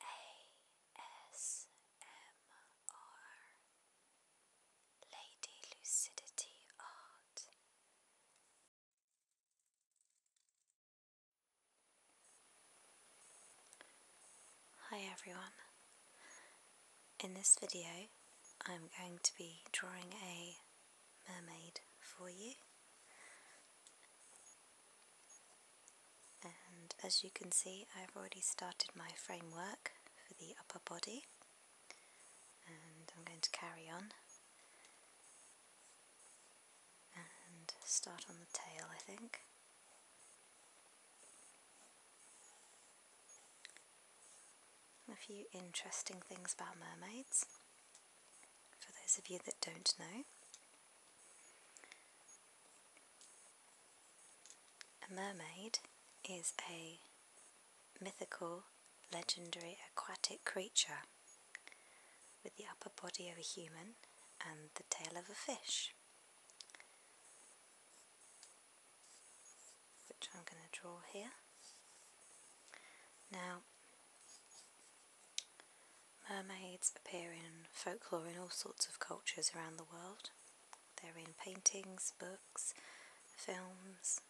ASMR Lady Lucidity Art. Hi everyone. In this video, I'm going to be drawing a mermaid for you. And as you can see, I've already started my framework for the upper body, and I'm going to carry on and start on the tail, I think. A few interesting things about mermaids, for those of you that don't know. A mermaid is a mythical, legendary aquatic creature with the upper body of a human and the tail of a fish, which I'm going to draw here. Now, Mermaids appear in folklore in all sorts of cultures around the world. They're in paintings, books, films,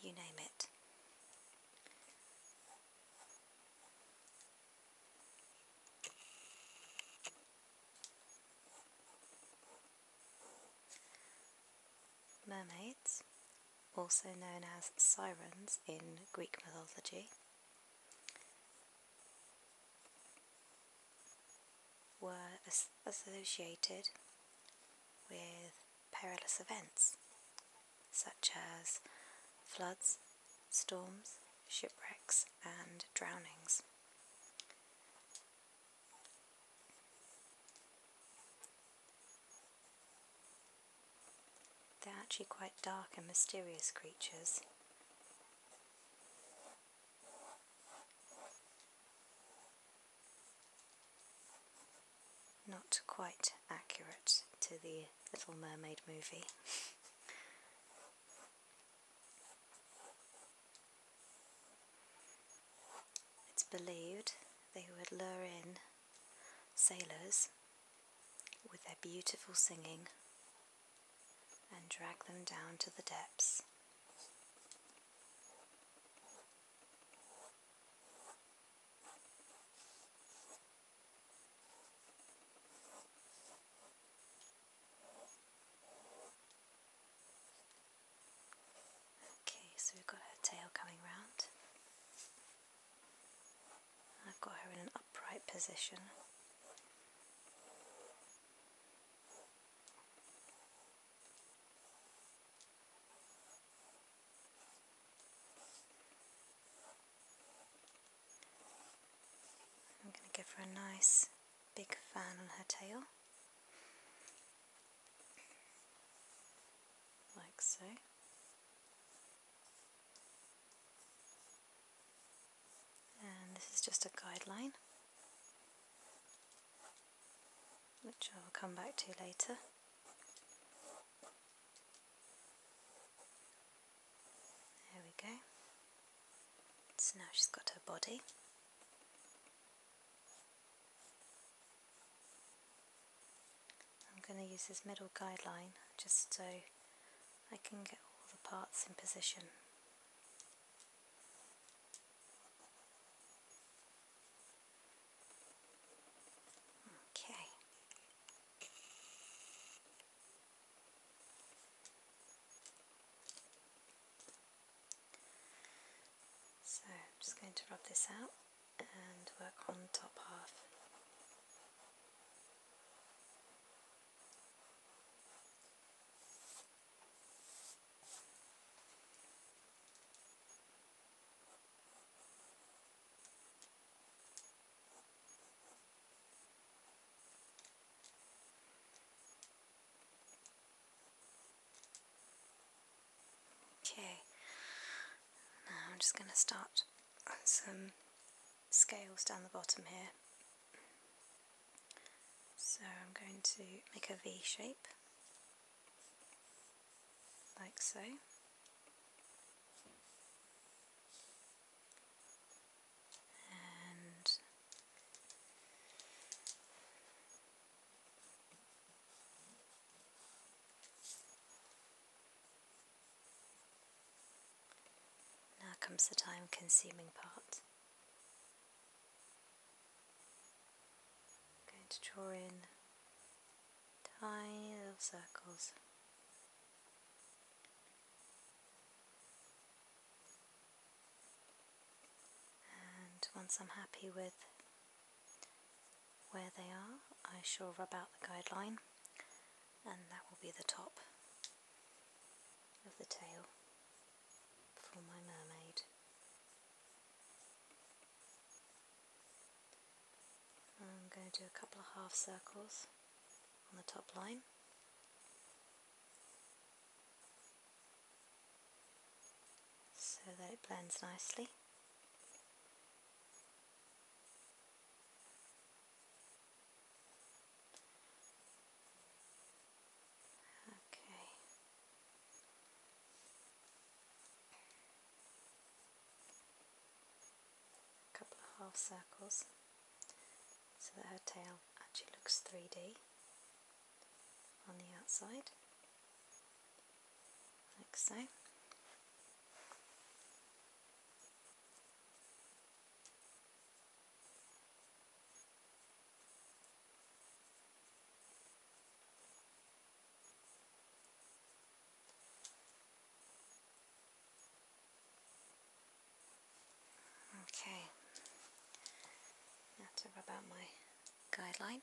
you name it. Mermaids, also known as sirens in Greek mythology, were associated with perilous events such as floods, storms, shipwrecks, and drownings. They're actually quite dark and mysterious creatures. Not quite accurate to the Little Mermaid movie. it's believed they would lure in sailors with their beautiful singing and drag them down to the depths. Okay, so we've got her tail coming round. I've got her in an upright position. I'm going to give her a nice big fan on her tail, like so and this is just a guideline which I will come back to later. There we go. So now she's got her body. I'm going to use this middle guideline just so I can get all the parts in position. Okay. So I'm just going to rub this out and work on the top half. Okay, now I'm just going to start on some scales down the bottom here. So I'm going to make a V shape, like so. and now comes the time consuming part. I'm going to draw in tiny little circles. And once I'm happy with where they are, I shall rub out the guideline and that will be the top of the tail for my mermaid. I'm going to do a couple of half circles on the top line. so that it blends nicely Okay. couple of half circles so that her tail actually looks 3D on the outside, like so. Okay, now to my guideline.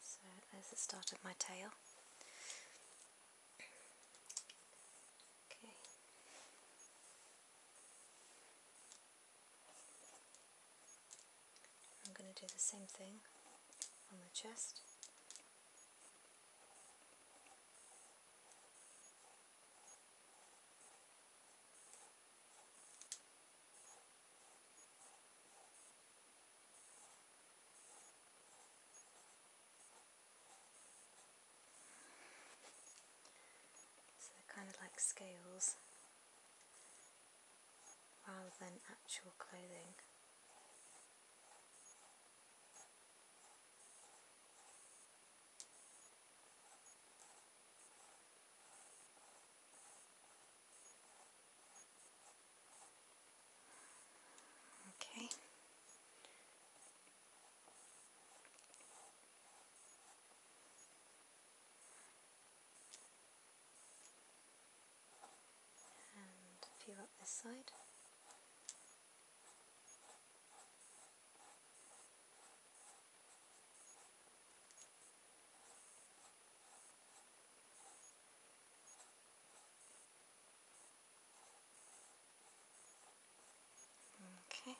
So there's the start of my tail. Okay. I'm going to do the same thing on the chest. So they're kind of like scales rather than actual clothing. Okay. And a up this side. Okay,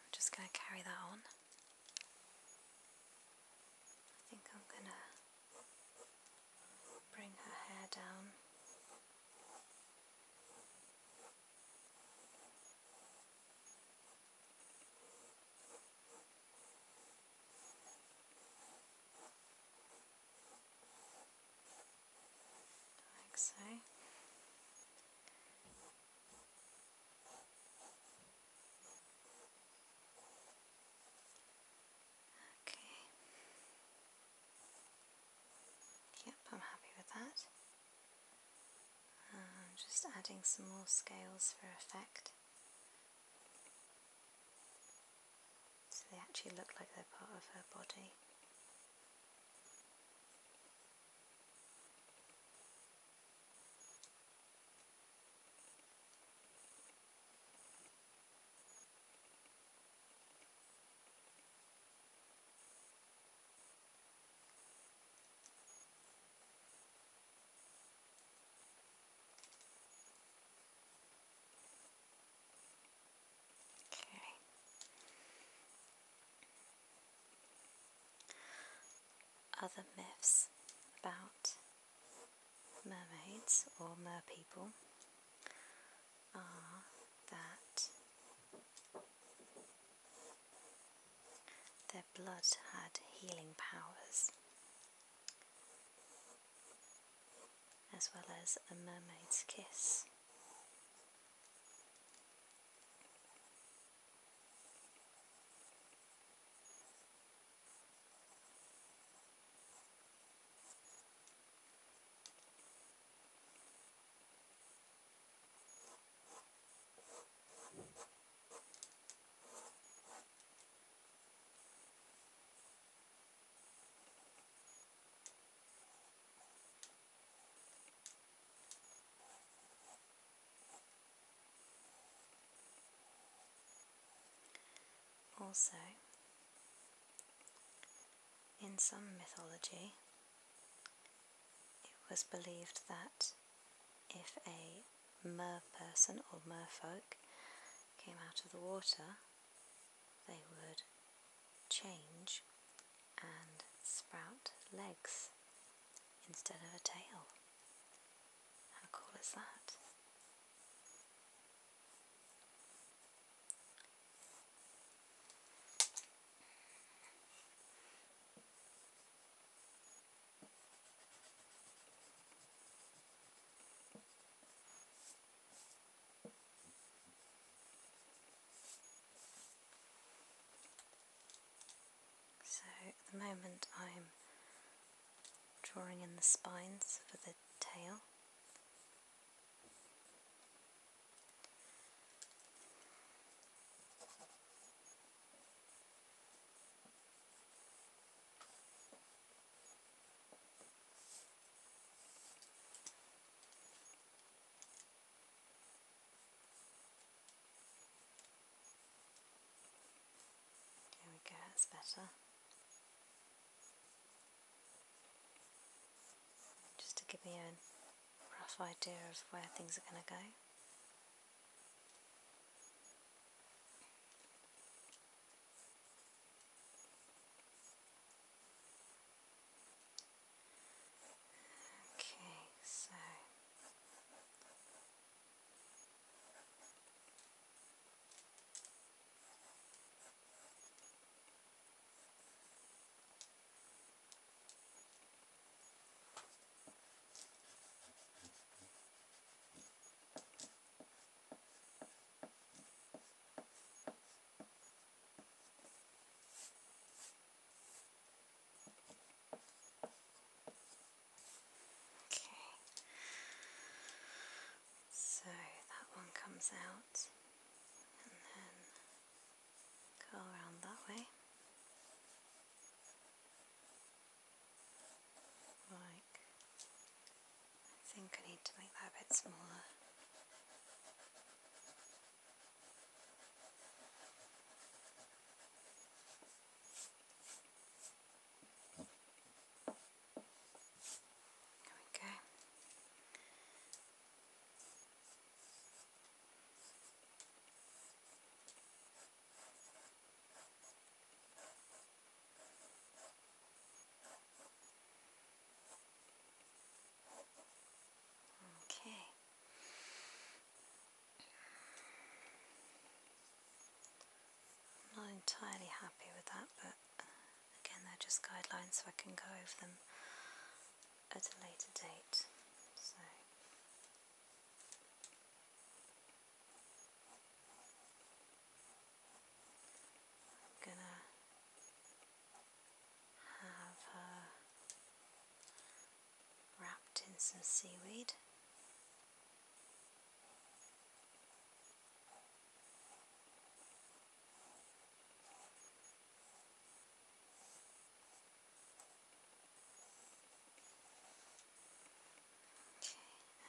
I'm just going to carry that on. I think I'm going to bring her hair down. Like so. Okay. Yep, I'm happy with that. Uh, just adding some more scales for effect. So they actually look like they're part of her body. Okay. Other myths about mermaids or merpeople are that their blood had healing powers, as well as a mermaid's kiss. Also, in some mythology, it was believed that if a mer person or merfolk came out of the water, they would change and sprout legs instead of a tail. How cool is that? So at the moment I'm drawing in the spines for the tail. There we go, that's better. Just to give me an rough idea of where things are going to go. Okay, so Okay, so that one comes out, and then Go around that way. Like, I think I need to make that a bit smaller. There we go. Okay. I'm not entirely happy with that, but again, they're just guidelines, so I can go over them at a later date. So. gonna have her wrapped in some seaweed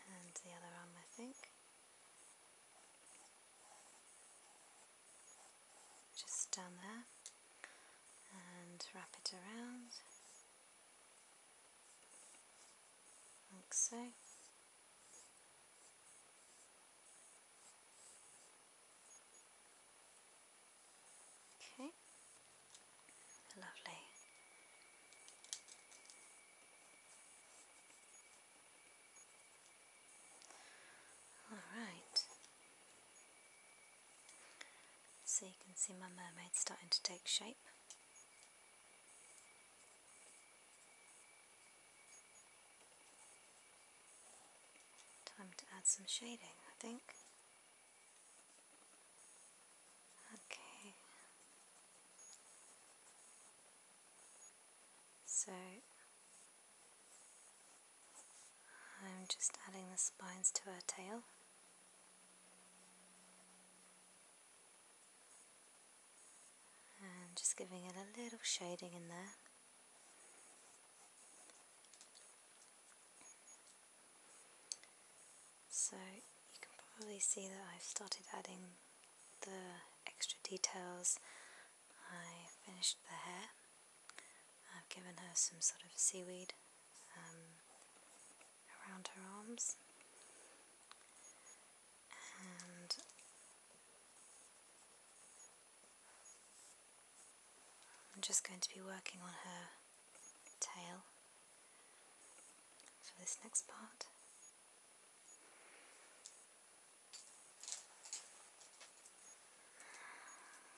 and the other arm I think. Just down there and wrap it around like so. Okay, lovely. All right. So you can see my mermaid starting to take shape. Time to add some shading, I think. Okay. So I'm just adding the spines to her tail. And just giving it a little shading in there. So you can probably see that I've started adding the extra details. I finished the hair. I've given her some sort of seaweed um, around her arms. I'm just going to be working on her tail for this next part.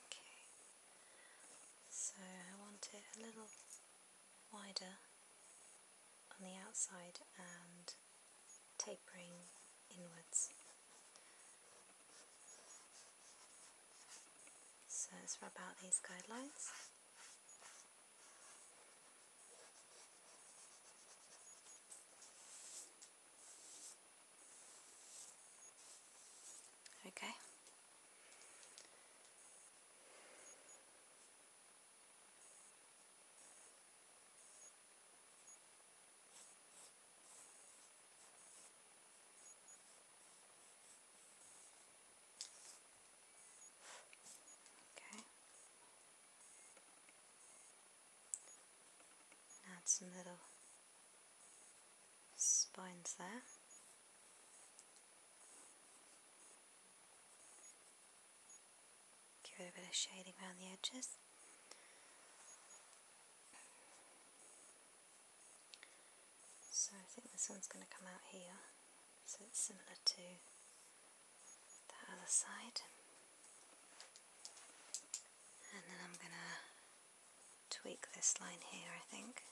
Okay, so I want it a little wider on the outside and tapering inwards. So let's rub out these guidelines. Okay. Okay. Add some little spines there. Give it a bit of shading around the edges. So I think this one's going to come out here, so it's similar to that other side. And then I'm going to tweak this line here, I think.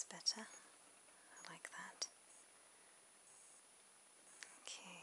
That's better. I like that. Okay.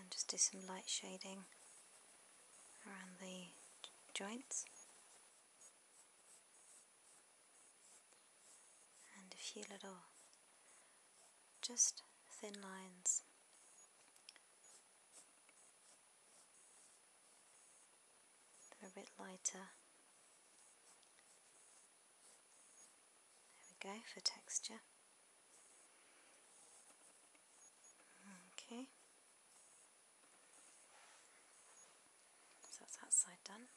And just do some light shading around the joints. And a few little just thin lines. They're a bit lighter. There we go for texture. Okay. So that's that side done.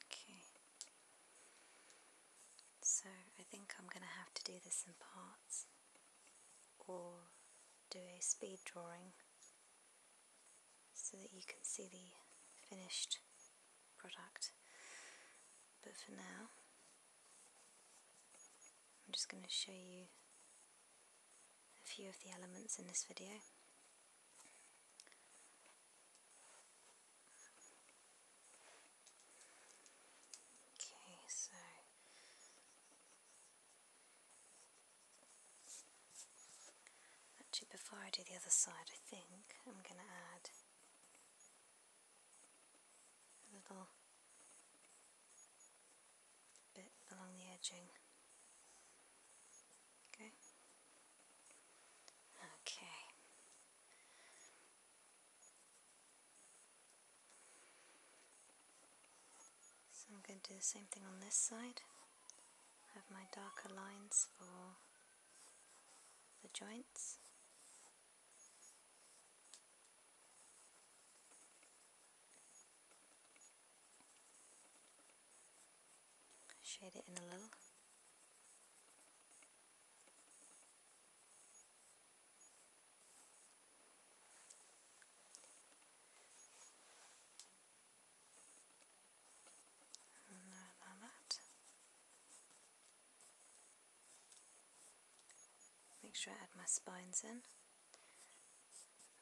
Okay. So I think I'm going to have to do this in parts or do a speed drawing so that you can see the finished product. But for now, I'm just going to show you a few of the elements in this video. Okay, so Actually, before I do the other side, I think I'm going to add a little bit along the edging. Okay. Okay. So I'm going to do the same thing on this side. Have my darker lines for the joints. Shade it in a little. Make sure I add my spines in,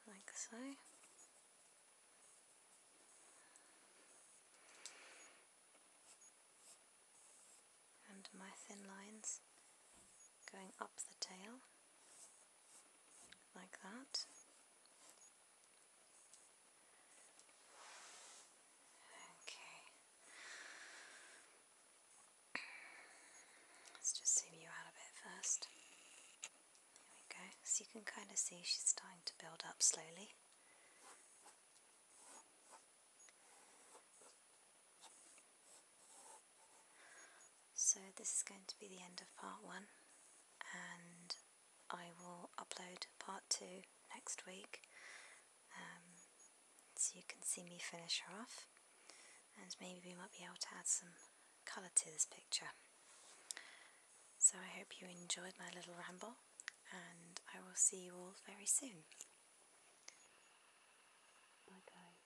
like so. And my thin lines going up the tail like that. Okay. Let's just zoom you out a bit first. There we go. So you can kind of see she's starting to build up slowly. So this is going to be the end of part one and I will upload part two next week um, so you can see me finish her off and maybe we might be able to add some colour to this picture. So I hope you enjoyed my little ramble and I will see you all very soon. Bye guys.